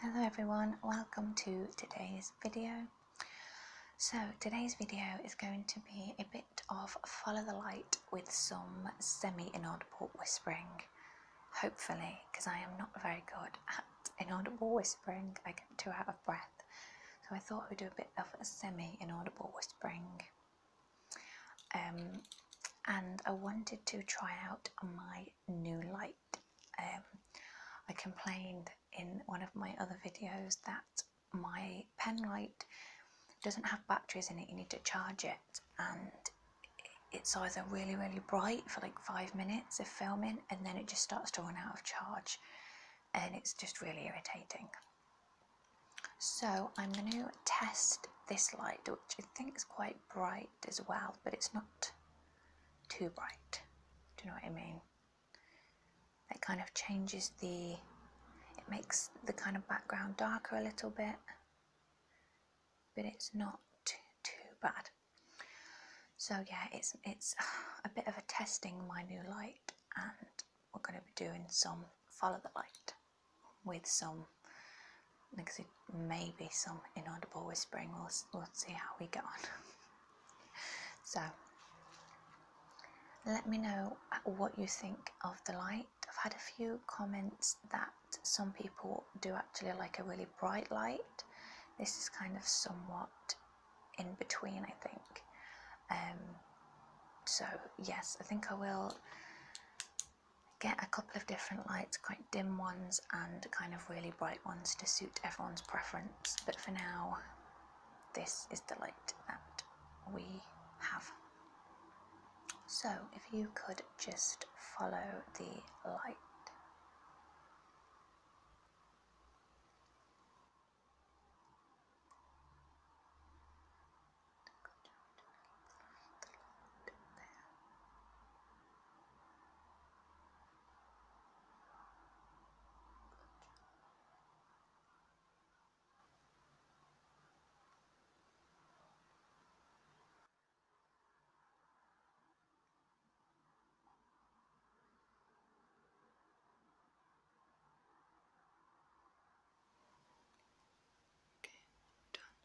Hello everyone, welcome to today's video. So today's video is going to be a bit of follow the light with some semi-inaudible whispering, hopefully, because I am not very good at inaudible whispering, I get too out of breath. So I thought we'd do a bit of semi-inaudible whispering. Um, and I wanted to try out my new light. Um, I complained in one of my other videos that my pen light doesn't have batteries in it, you need to charge it, and it's either really, really bright for like five minutes of filming and then it just starts to run out of charge, and it's just really irritating. So, I'm going to test this light, which I think is quite bright as well, but it's not too bright. Do you know what I mean? It kind of changes the, it makes the kind of background darker a little bit, but it's not too bad. So yeah, it's, it's a bit of a testing my new light and we're going to be doing some follow the light with some because it may be some inaudible whispering. We'll, we'll see how we get on. so, let me know uh, what you think of the light. I've had a few comments that some people do actually like a really bright light. This is kind of somewhat in between, I think. Um, so, yes, I think I will get a couple of different lights, quite dim ones and kind of really bright ones to suit everyone's preference. But for now, this is the light that we have. So if you could just follow the light. Okay, done.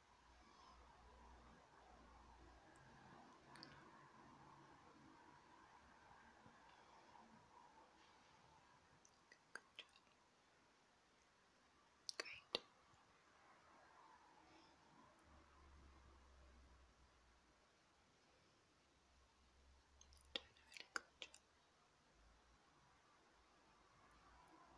Good job. Great. Doing a really good job.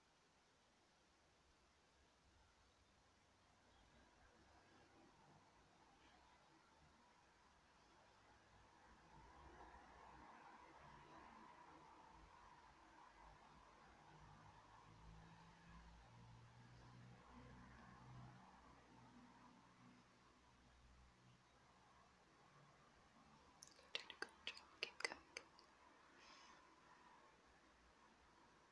You're doing a good job. Keep going.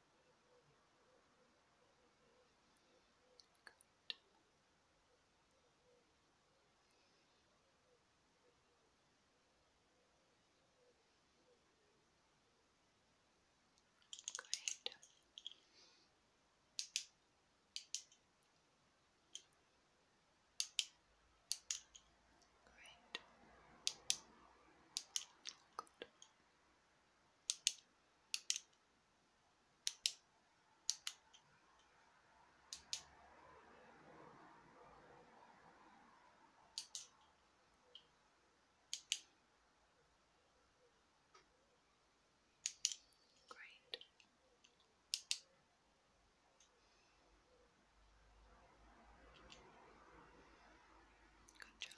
Good. Great. Great. Good. Great. Good job.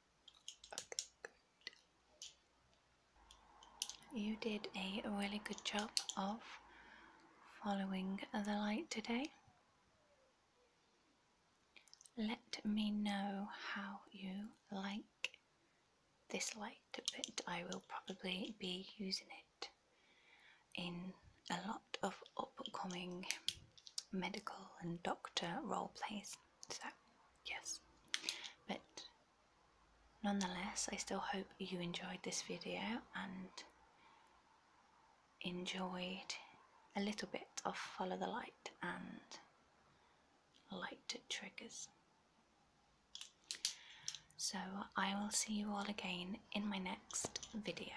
You did a really good job of following the light today. Let me know how you like this light but I will probably be using it in a lot of upcoming medical and doctor role plays. So, yes, but nonetheless, I still hope you enjoyed this video and enjoyed a little bit of follow the light and light triggers. So, I will see you all again in my next video.